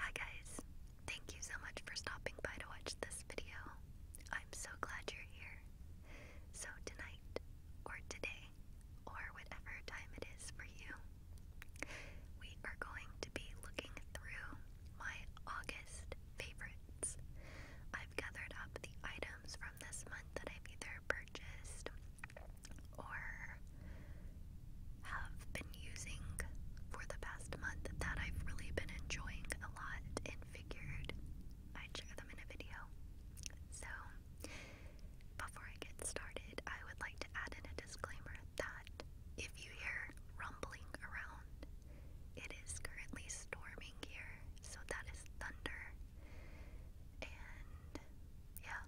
Hi guys, thank you so much for stopping by to watch this video. I'm so glad you're here. So tonight, or today, or whatever time it is for you, we are going to be looking through my August favorites. I've gathered up the items from this month that I've either purchased or have been using for the past month that I've really been enjoying a lot and figured I'd share them in a video. So, before I get started, I would like to add in a disclaimer that if you hear rumbling around, it is currently storming here, so that is thunder. And yeah,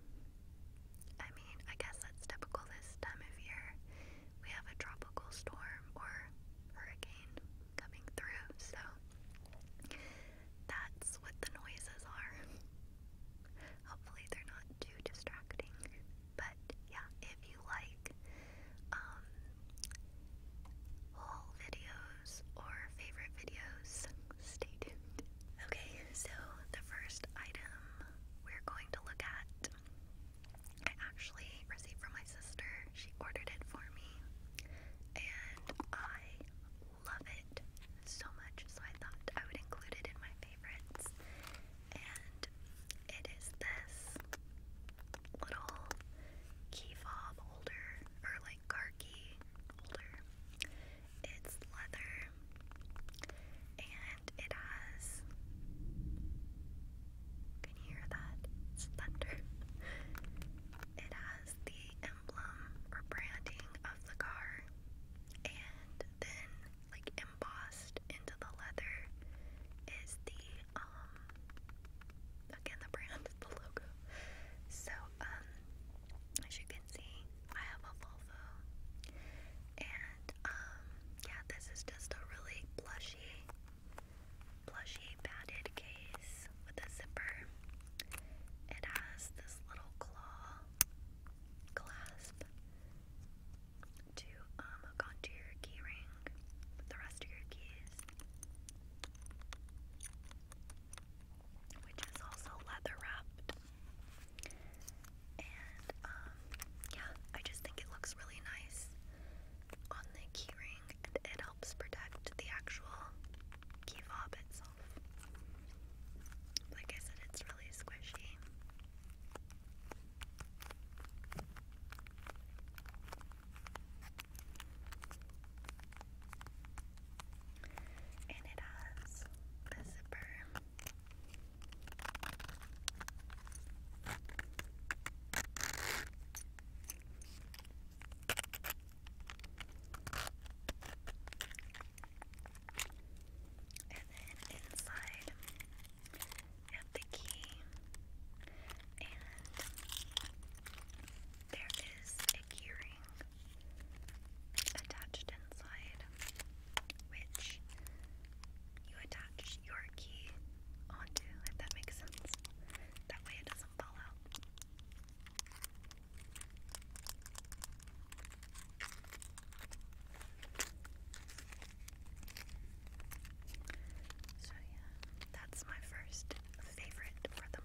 I mean, I guess that's typical this time of year we have a tropical storm or hurricane coming through, so that's what the noises are. Hopefully, they're not too distracting, but yeah, if you like um, haul videos or favorite videos, stay tuned. Okay, so the first item we're going to look at I actually received from my sister. She ordered it for me, and I love it so much. So I thought I would include it in my favorites. And it is this little key fob holder, or like car key holder. It's leather and it has. Can you hear that? It's thunder. It has the emblem or branding of the car, and then, like, embossed into the leather is the, um, again, the brand, the logo. So, um, as you can see, I have a Volvo, and and um, yeah, this is just a really plushy, plushy padded case with a zipper. It has this little claw clasp to um, hook onto your keyring with the rest of your keys, which is also leather wrapped. And um, yeah, I just think it looks really nice on the keyring, and it helps protect the actual key fob itself. Like I said, it's really squishy. And it has a zipper and then inside you have the key, and there is a keyring attached inside, which you attach your key onto, if that makes sense. That way it doesn't fall out. So, yeah, that's my first favorite rhythm.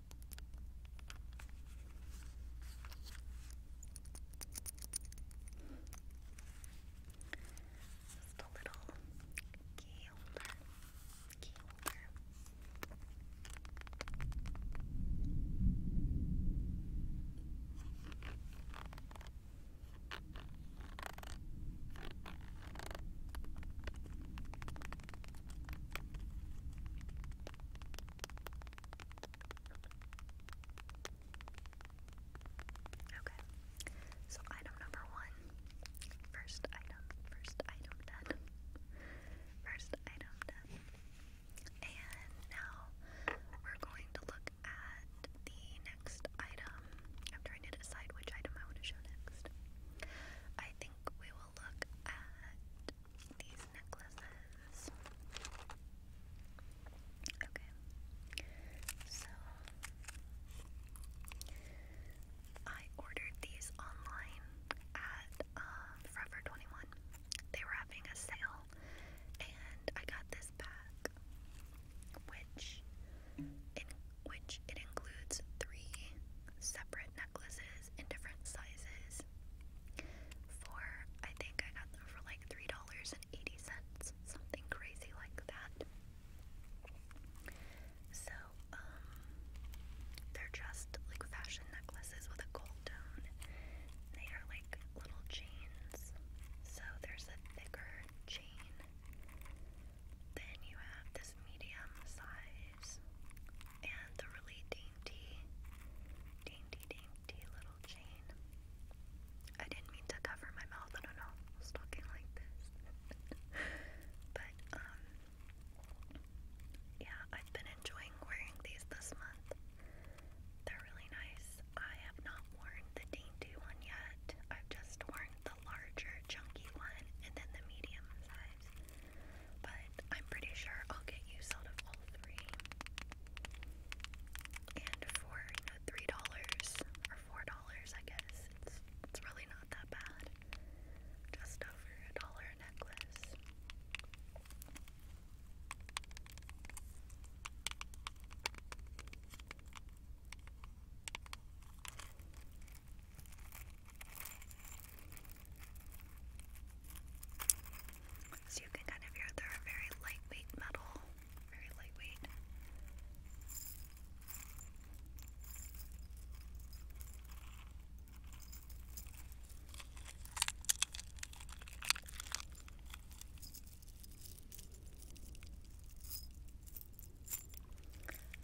Just a little key holder. Key holder. Just Okay, so item number one. First item, first item done. First item done. And now we're going to look at the next item. I'm trying to decide which item I want to show next. I think we will look at these necklaces. Okay, so I ordered these online at um, Forever 21. They were having a sale, and I got this pack, which in which it includes three separate necklaces in different sizes for I think I got them for like three dollars and eighty cents, something crazy like that. So, um, they're just like fashion necklaces with a gold tone. They are like little chains. So there's a thicker chain. Then you have this medium size and the really dainty, dainty, dainty little chain. I didn't mean to cover my mouth. I don't know. talking like this. but, um, yeah, I've been enjoying wearing these this month. They're really nice. I have not worn the dainty one yet. I've just worn the larger, chunky one and then the medium size but I'm pretty sure I'll get used out of all three. And for three dollars or four dollars, I guess it's it's really not that bad. Just over a dollar a necklace. So you can kind of hear they're very lightweight metal, very lightweight.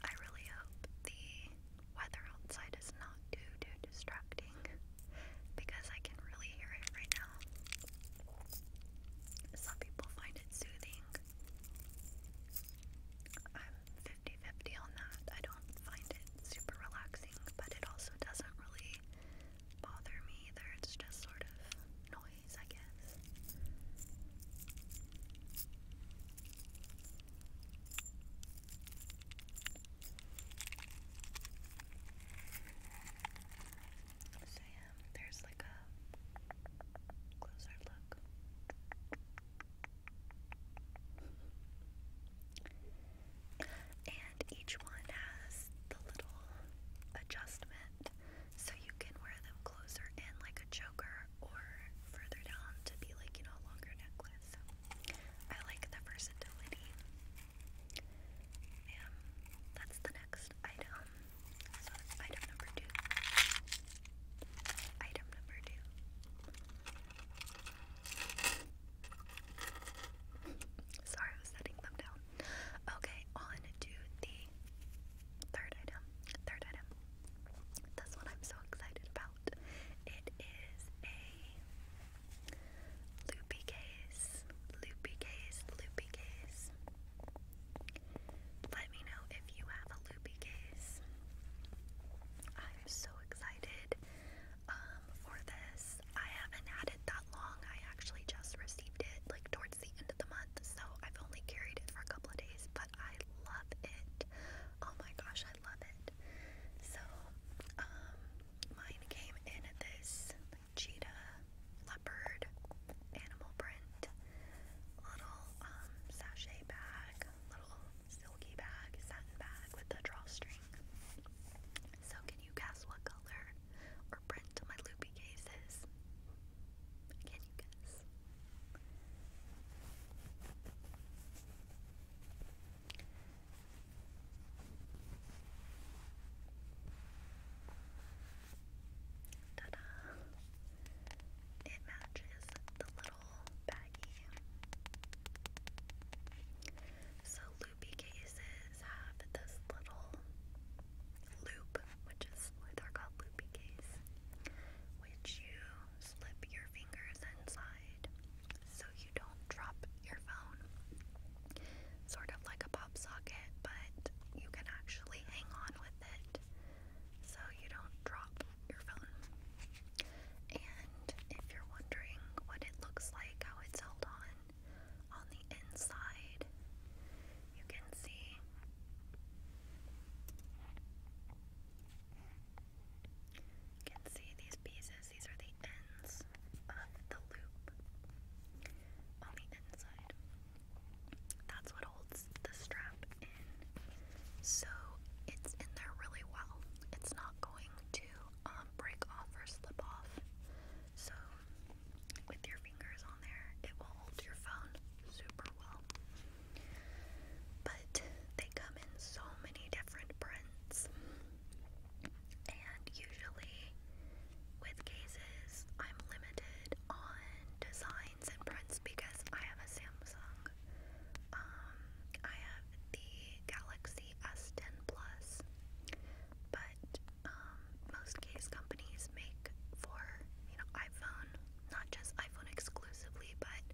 I really hope the weather outside is not not do too distracting because I can really hear it right now. Some people find it soothing. I'm 50 on that. I don't find it super relaxing, but it also doesn't really bother me either. It's just sort of noise, I guess. So yeah, there's like a closer look. And each one has the little adjustment so you can wear them closer in like a choker or further down to be like, you know, a longer necklace. I like the versatility. And um, that's the next item. So item number two. Item number two. Sorry, I was setting them down. Okay, on to the third item. Third item. This one I'm so excited about. It is a Loopy case, loopy case, loopy case. Let me know if you have a loopy gaze. I'm so excited um, for this. I haven't had it that long. I actually just received it like towards the end of the month, so I've only carried it for a couple of days, but I love it. Oh my gosh, I love it. So, um, Mine came in this cheetah leopard animal print little um bag, little silky bag, satin bag with a drawstring. So can you guess what color or print my loopy case is? Can you guess? Ta-da! It matches the little baggie. So loopy cases have this little loop, which is why called loopy case, which you slip your fingers inside so you don't drop your phone. Sort of like a pop socket, but you can actually hang on with it so you don't drop your phone. And if you're wondering what it looks like, how it's held on, on the inside, you can see. You can see these pieces these are the ends of the loop on the inside. That's what holds the strap in. So it's in there really well. It's not going to um, break off or slip off. So with your fingers on there, it will hold your phone super well. But they come in so many different prints. And usually, with cases, I'm limited on designs and prints because I have a Samsung. Um, I have the Galaxy S10 Plus, but um, most case companies make for you know iPhone, not just iPhone exclusively, but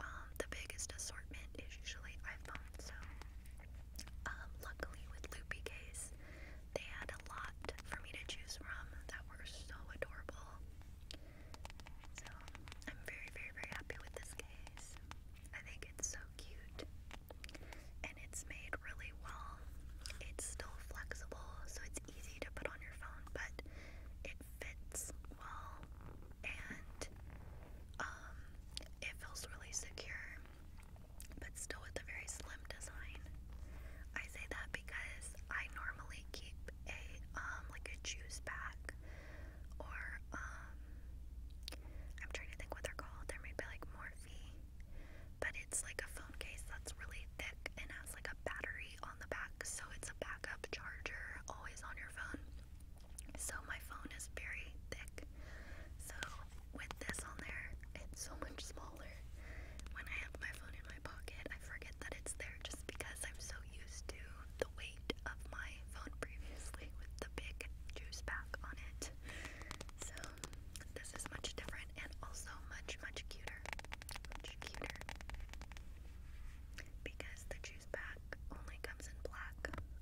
um, the biggest assortment is usually iPhone. So um, luckily with Loopy Case, they had a lot for me to choose from that were so adorable. So I'm very, very, very happy with this case. I think it's so cute. And it's made really well. It's still flexible, so it's easy to put on your phone, but it fits well and um, it feels really secure but still with a very slim design. I say that because I normally keep a um, like a juice pack or um, I'm trying to think what they're called. There might be like Morphe, but it's like a phone case that's really thick and has like a battery on the back, so it's a backup charger always on your phone. So my phone is very thick. So with this on there, it's so much smaller. When I have my phone in my pocket, I forget that it's there just because I'm so used to the weight of my phone previously with the big juice pack on it. So this is much different and also much, much cuter. Much cuter. Because the juice pack only comes in black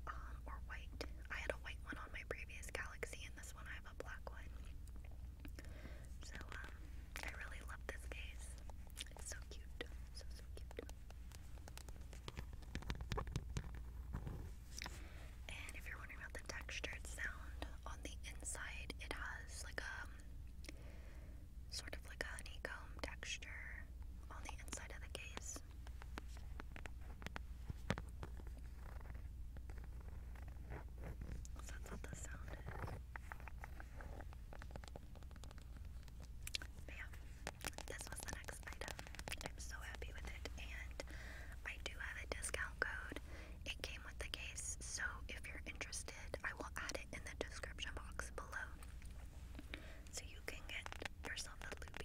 um, or white. I had a white one my previous Galaxy, and this one I have a black one. So, um, I really love this case. It's so cute. So, so cute. And if you're wondering about the textured sound, on the inside it has like a um, sort of like honeycomb texture on the inside of the case this. So that's what the sound is. But yeah, this was the next item. I'm so happy with it, and I do have a discount code. It came with the case, so if you're interested, I will add it in the description box below. So you can get yourself a loot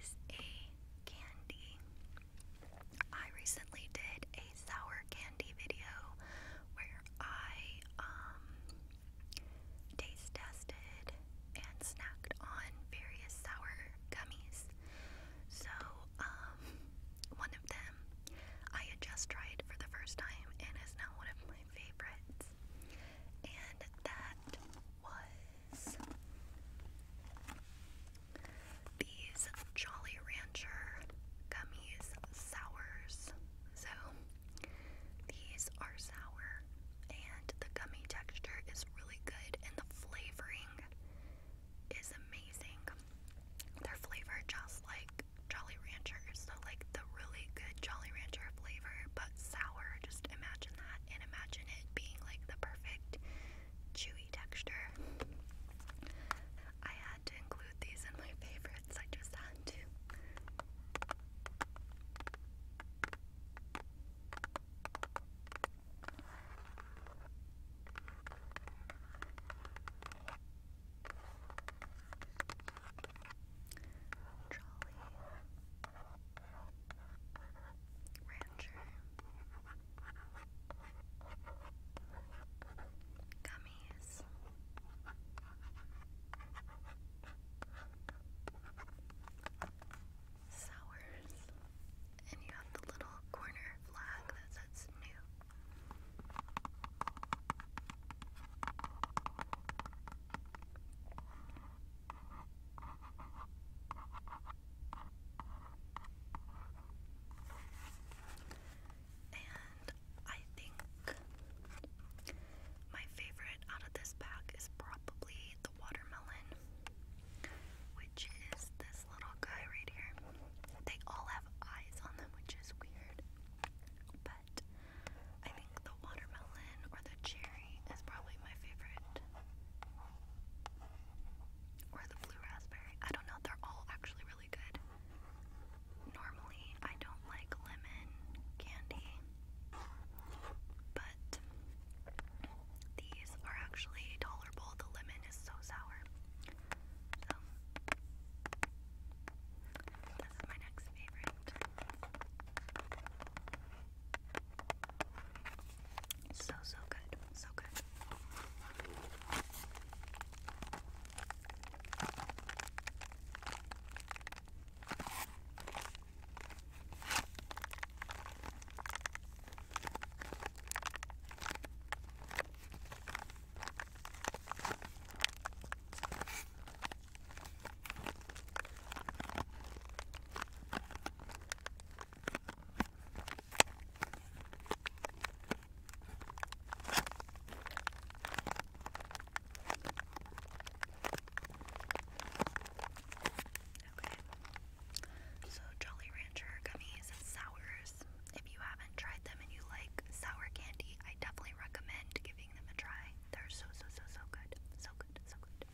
is a candy. I recently did a sour candy video where I um, taste tested and snacked on various sour gummies. So, um, one of them I had just tried for the first time and is now one of my favorites. And that was these Jolly Rancher gummies sours. So these are sour and the gummy texture is really good and the flavoring is amazing. They're flavored just like Jolly Ranchers, so like the really good Jolly Rancher flavor, but but sour. Just imagine that and imagine it being like the perfect chewy texture. I had to include these in my favorites, I just had to. Trolley. Rancher, Gummies, Sours, and you have the little corner flag that new. And I think my favorite out of this pack is probably the watermelon, which is this little guy right here. They all have eyes on them, which is weird, but I think the watermelon or the cherry is probably my favorite. Or the blue raspberry. I don't know, they're all actually really good. Normally, I don't like lemon candy, but these are actually tolerable. The lemon is so sour. So, this is my next favorite. So, so good. So good so Jolly Rancher gummies and sours. If you haven't tried them and you like sour candy, I definitely recommend giving them a try. They're so so so so good. So good, so good.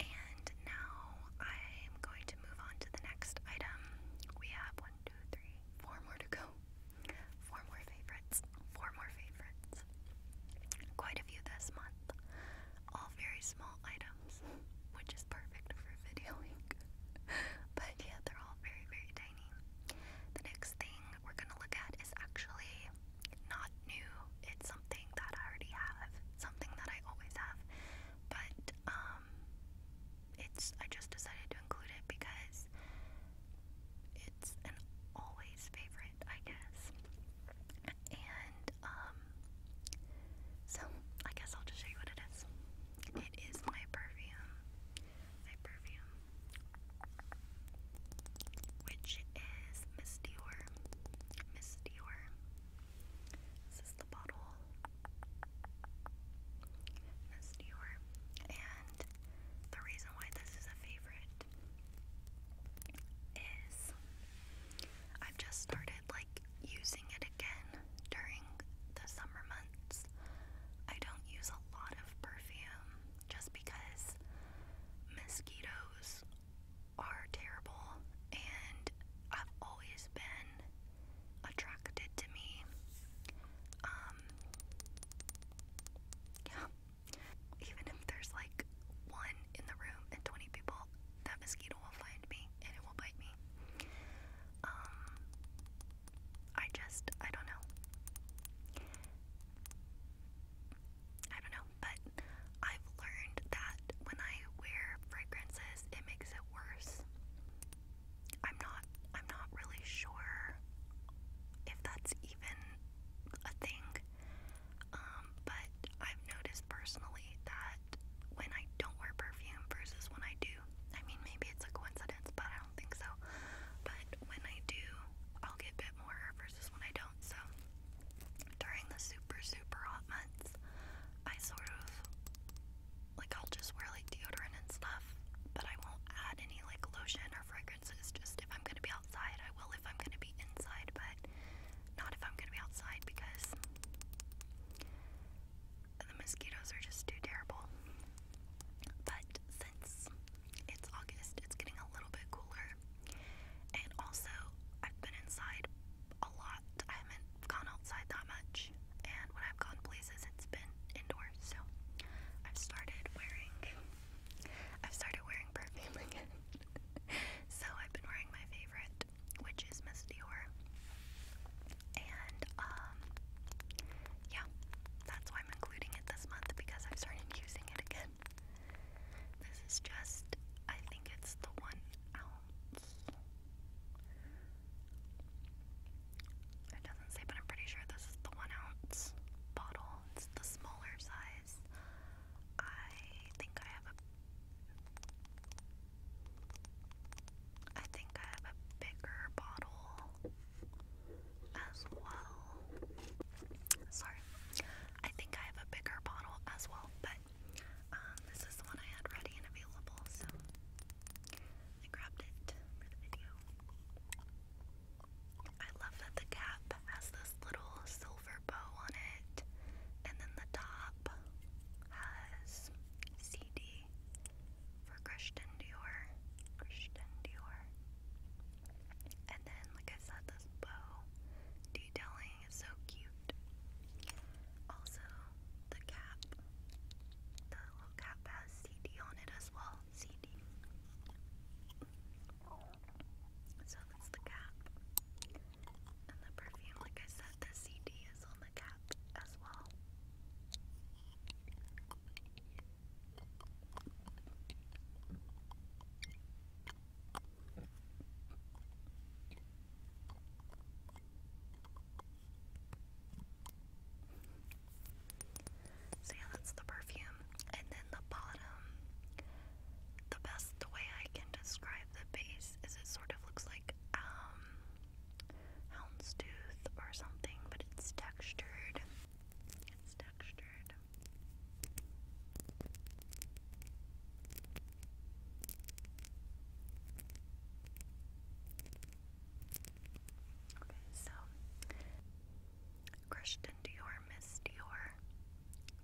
And now I'm going to move on to the next item. We have one, two, three, four more to go. Four more favorites. Four more favorites. Quite a few this month. All very small items, which is perfect for videoing. but yeah, they're all very, very tiny. The next thing we're going to look at is actually not new. It's something that I already have, something that I always have. But um it's I just decided to include it because it's an always favorite, I guess. And um so I guess I'll just show you what it is. It is my perfume. My perfume which is Miss Dior. Miss Dior. This is the bottle. Miss Dior. And the reason why this is a favorite is I've just started like using it again during the summer months. I don't use a lot of perfume just because mosquitoes are terrible and I've always been attracted to me. Um, yeah. Even if there's like one in the room and 20 people, that mosquito will find me and it will bite me. Um I just I don't know. I don't know, but I've learned that when I wear fragrances, it makes it worse. I'm not I'm not really sure if that's even a thing. Um, but I've noticed personally that when I don't wear perfume versus when I do, I mean maybe it's a coincidence, but I don't think so. But when I do, I'll get bit more versus when I don't. So during the super, super hot months, I sort of like I'll just wear like deodorant and stuff, but I won't add any like lotion or fragrances. Just if I'm gonna be outside, I will if I'm gonna be inside, but not if I'm gonna be outside because the mosquitoes are just too terrible. But since it's August, it's getting a little bit cooler. And also, I've been inside a lot. I haven't gone outside that much. And when I've gone places, it's been indoors. So I've started wearing, I've started wearing perfume again. so I've been wearing my favorite, which is Miss Dior. And um, yeah, that's why I'm including it this month because I've started using it again. This is just, I think it's the one ounce. It doesn't say, but I'm pretty sure this is the one ounce bottle. It's the smaller size. I think I have a. I think I have a bigger bottle as well. Sorry. I think I have a bigger bottle as well, but um, this is the one I had ready and available, so I grabbed it for the video. I love that the cap has this little silver bow on it, and then the top has CD for Christian Dior. Christian Dior. And then, like I said, this bow, detailing is so cute. Also, the cap, the little cap has CD on it as well. CD. So that's the cap. And the perfume, like I said, the CD is on the cap as well. So yeah, that's the perfume. And then the bottom, the best way I can describe the base is it sort of looks like um houndstooth or something, but it's textured. It's textured. Okay, so Christian Dior Miss Dior,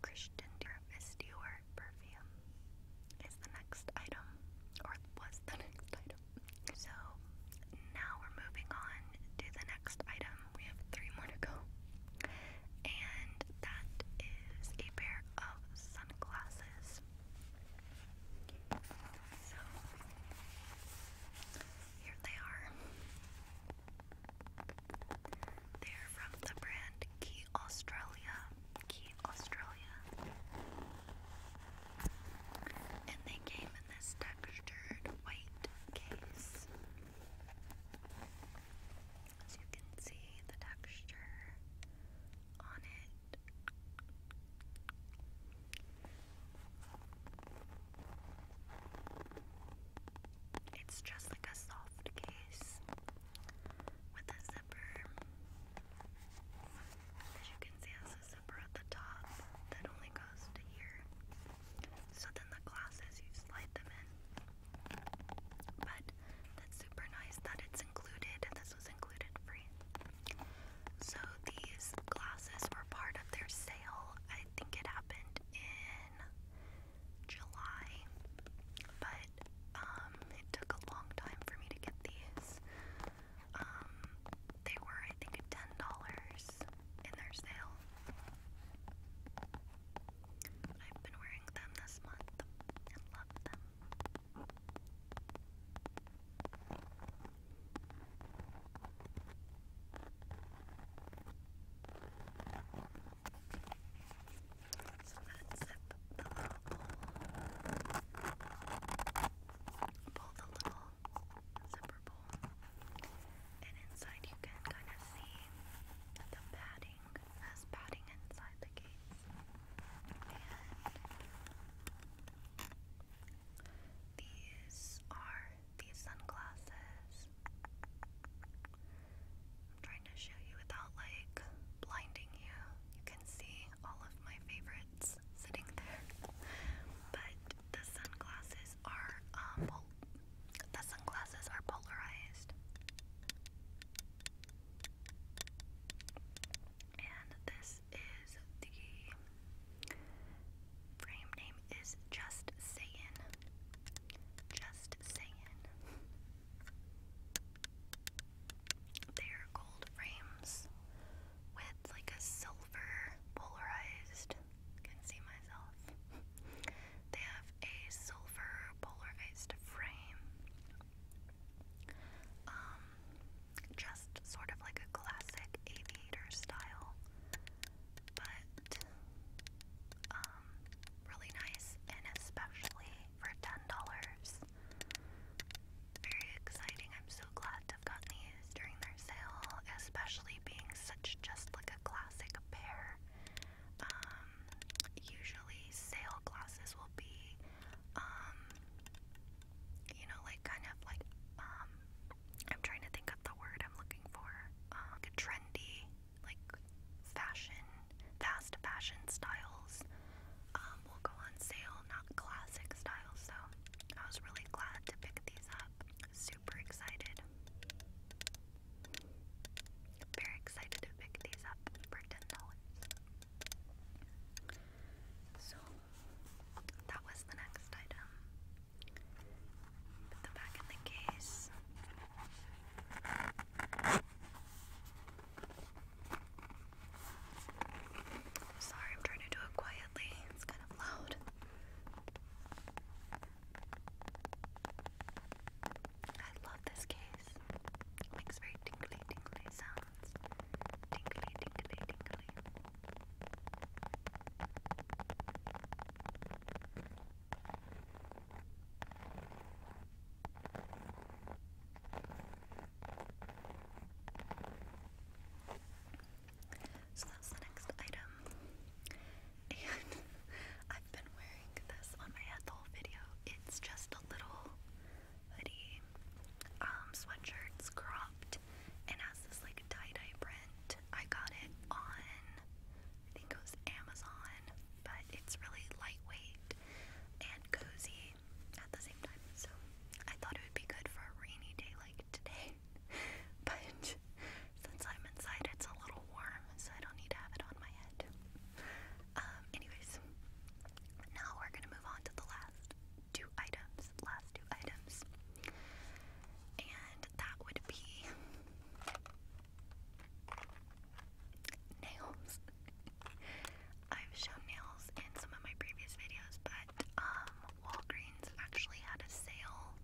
Christian Dior Miss Dior perfume is the next item, or was the next item. So now we're moving on to the next item. We have three more to go. And that is a pair of sunglasses. So here they are. They're from the brand Key Australia. Key Australia. And they came in this textured white case. As you can see, the texture on it. It's just like a soft case with a zipper. As you can see, it a zipper at the top that only goes to here. So then the glasses, you slide them in. But that's super nice that it's included. This was included free. So these glasses were part of their sale. I think it happened in July. But um it took a long time for me to get these. Um they were I think $10 in their sale. I've been wearing them this month and love them. So let zip the little Pull the little zipper bowl. And inside you can kind of see the padding as padding inside the case. these are these sunglasses. I'm trying to show you without like blinding you. You can see all of my favorites sitting there. But the sunglasses are um the sunglasses are polarized. And this is the frame name is Just Sayin. Just Sayin. They're gold frames with like a silver polarized. Can see myself. They have a silver polarized frame, um, just sort of like a classic aviator style, but um, really nice, and especially for ten dollars. Very exciting. I'm so glad to have gotten these during their sale, especially being such just like a classic pair. Um, usually sale glasses will be, um, you know, like kind of like, um, I'm trying to think of the word I'm looking for. Uh, trendy, like fashion, fast fashion styles will go on sale, not classic styles. So I was really glad to pick these up. Super excited. Very excited to pick these up for $10. So, that was the next item. Put them back in the case. Sorry, I'm trying to do it quietly. It's kind of loud. I love this case. makes very tingly, tingly sounds. Tingly, tingly, tingly. So that's the next item. I've been wearing this on my head the whole video. It's just a little hoodie, um, sweatshirt, cropped, and has this like tie-dye print. I got it on, I think it was Amazon, but it's really lightweight and cozy at the same time. So I thought it would be good for a rainy day like today, but since I'm inside, it's a little warm, so I don't need to have it on my head. Um, anyways, now we're gonna move on to the last two items. Last two items. And that would be nails. I've shown nails in some of my previous videos, but um, Walgreens actually had a sale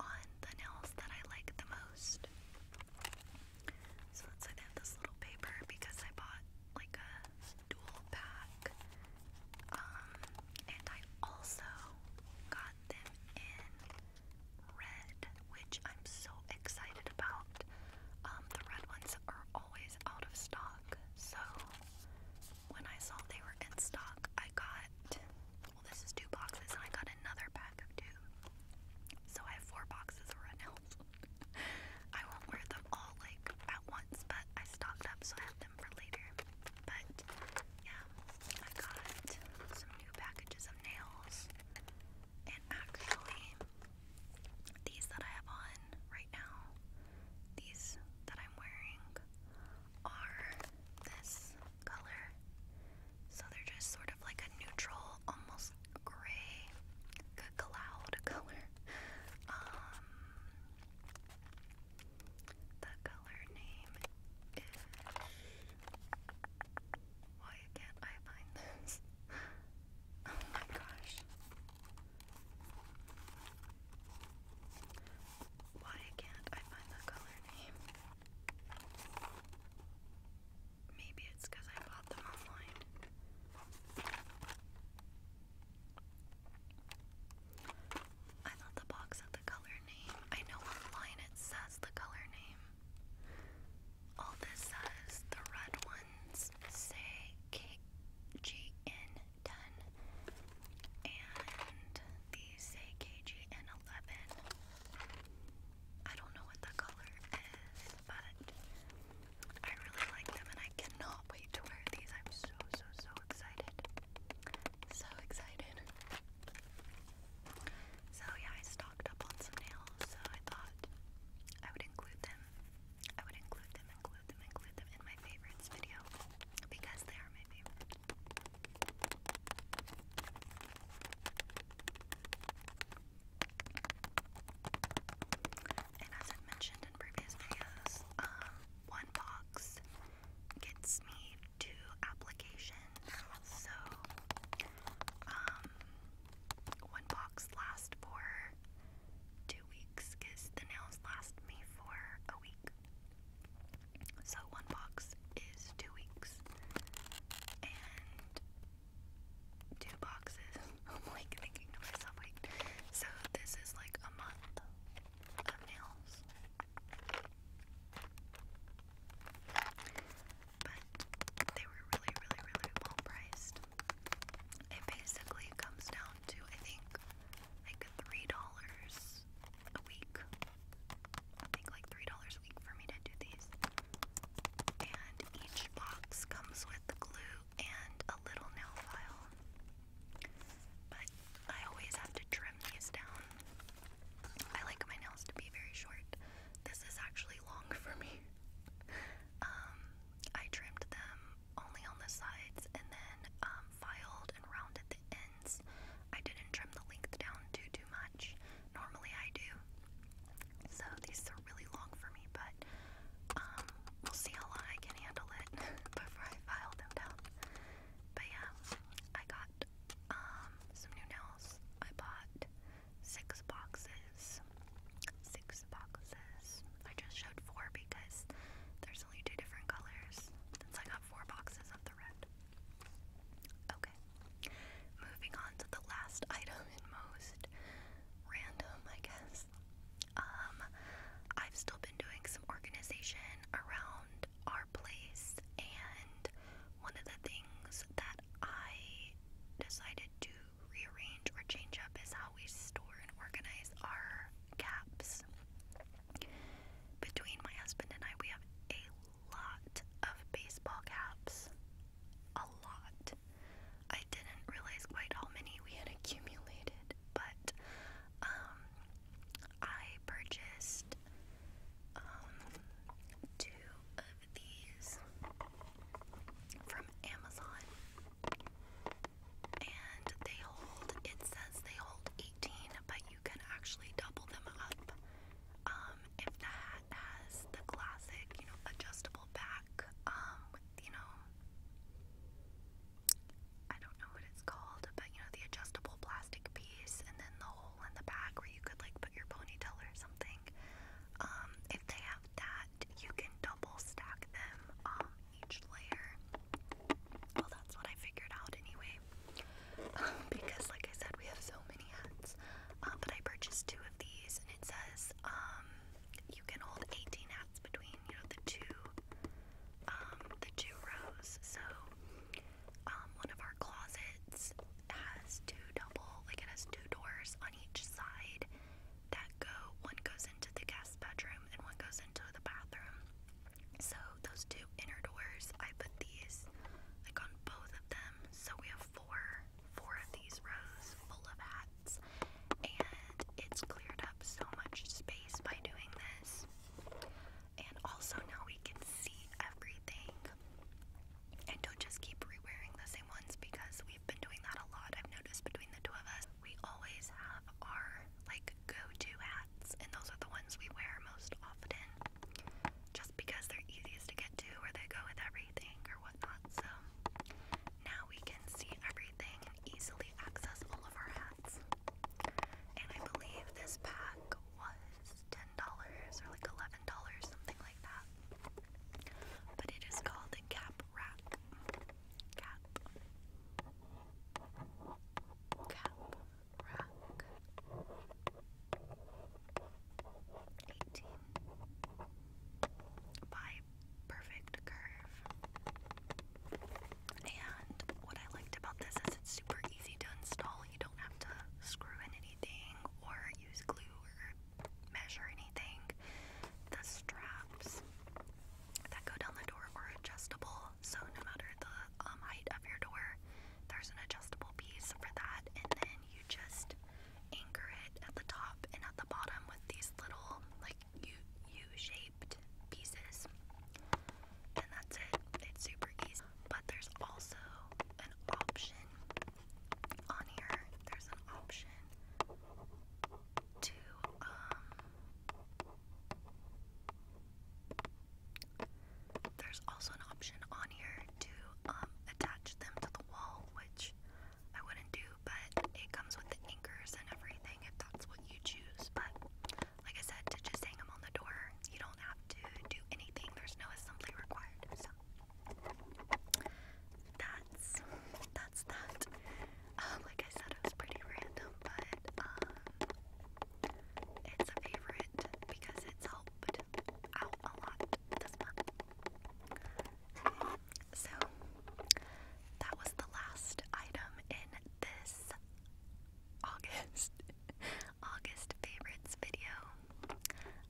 on the nails that I like the most. So let's say they this little paper because I bought like a dual pack. Um, and I also got them in red, which I'm so excited about. Um, the red ones are always out of stock, so when I saw they were in stock, I got this is two boxes and I got another pack of two. So I have four boxes of Red I won't wear them all like at once, but I stocked up so I have them for later. But yeah, I got some new packages of nails. And actually these that I have on right now, these that I'm wearing are this color. So they're just sort of like a neutral, almost gray, cloud color. Um, the color name is. Why can't I find this? Oh my gosh. Why can't I find the color name? Maybe it's because I bought them online. I thought the box had the color name. I know online it says the color name. All this says the red ones say KGN10, and these say KGN11. I don't know what the color is, but I really like them and I cannot wait to wear these. I'm so, so, so excited. So excited. So, yeah, I stocked up on some nails, so I thought I would include them. I would include them, include them, include them in my favorites video because they are my favorite. And as i mentioned in previous videos, um, one box gets me two applications. So, um, one box lasts for two weeks the nails last me for a week. So, one box is two weeks. And two boxes. I'm like thinking to myself, like, so this is like a month of nails. But they were really, really, really well priced. It basically comes down to, I think, like $3 a week I think like $3 a week for me to do these. And each box comes with glue and a little nail file. But I always have to trim these down. I like my nails to be very short. This is actually long for me. Um, I trimmed them only on the sides and then um, filed and rounded the ends. I didn't trim the length down due to my Normally I do. So these are really long for me, but um, we'll see how long I can handle it before I file them down. But yeah, I got um, some new nails. I bought six boxes. Six boxes. I just showed four because there's only two different colors. Since I got four boxes of the red. Okay. Moving on to the last item and most random, I guess. Um, I've still been doing some organization around our place, and one of the things that I decided to rearrange or change up is how we store and organize our caps. Between my husband and I, we have a lot of baseball caps. A lot. I didn't realize quite how many we had accumulated, but um, I purchased um, two of these from Amazon, and they hold. It says they hold 18, but you can actually double them up. Um, um, if the hat has the classic, you know, adjustable back, um, with, you know, I don't know what it's called, but you know, the adjustable plastic piece and then the hole in the back where you could like put your ponytail or something. Um, if they have that, you can double stack them, um, each layer. Well, that's what I figured out anyway. Um, because like I said, we have so many hats. Uh, but I purchased two of these, and it says um, you can hold 18 hats between you know the two um, the two rows. So um, one of our closets has two double like it has two doors on each side that go one goes into the guest bedroom and one goes into the bathroom. So those two inner doors, I put these like on both of them. So we have four four of these rows full of hats and it's cleared up so much space by doing this. And also now we can see everything and don't just keep re-wearing the same ones because we've been doing that a lot. I've noticed between the two of us, we always have our like go-to hats and those are the ones we wear most often just because they're easiest to get to where they go with everything or whatnot. So now we can see everything and easily access all of our hats. And I believe this pack was ten dollars or like eleven dollars, something like that. But it is called the Cap Wrap. Cap. Cap rack. 18 by perfect curve. And what I liked about this is it's super easy to install. You don't have to screw in anything or use glue or measure anything. The straps that go down the door are adjustable, so no matter the um, height of your door, there's an adjustable piece for that, and then you just anchor it at the top and at the bottom with these little, like, U-shaped pieces. And that's it. It's super easy. But there's also an option on here. There's an option to, um, there's also an option on here to um, attach them to the wall, which I wouldn't do, but it comes with the anchors and everything if that's what you choose. But like I said, to just hang them on the door, you don't have to do anything, there's no assembly required. So that's that. Um, like I said, it was pretty random, but um, it's a favorite because it's helped so, that was the last item in this August, August favorites video.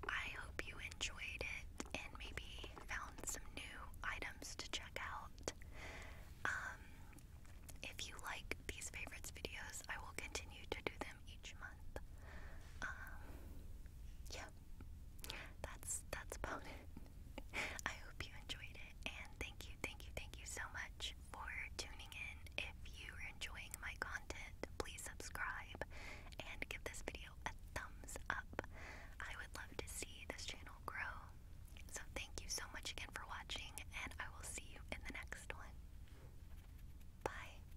I hope you enjoyed it and maybe found some new items to check out. Um, if you like these favorites videos, I will continue to do them each month. Um, yeah, that's that's about it. I hope you enjoyed it, and thank you, thank you, thank you so much for tuning in. If you are enjoying my content, please subscribe and give this video a thumbs up. I would love to see this channel grow. So thank you so much again for watching, and I will see you in the next one. Bye.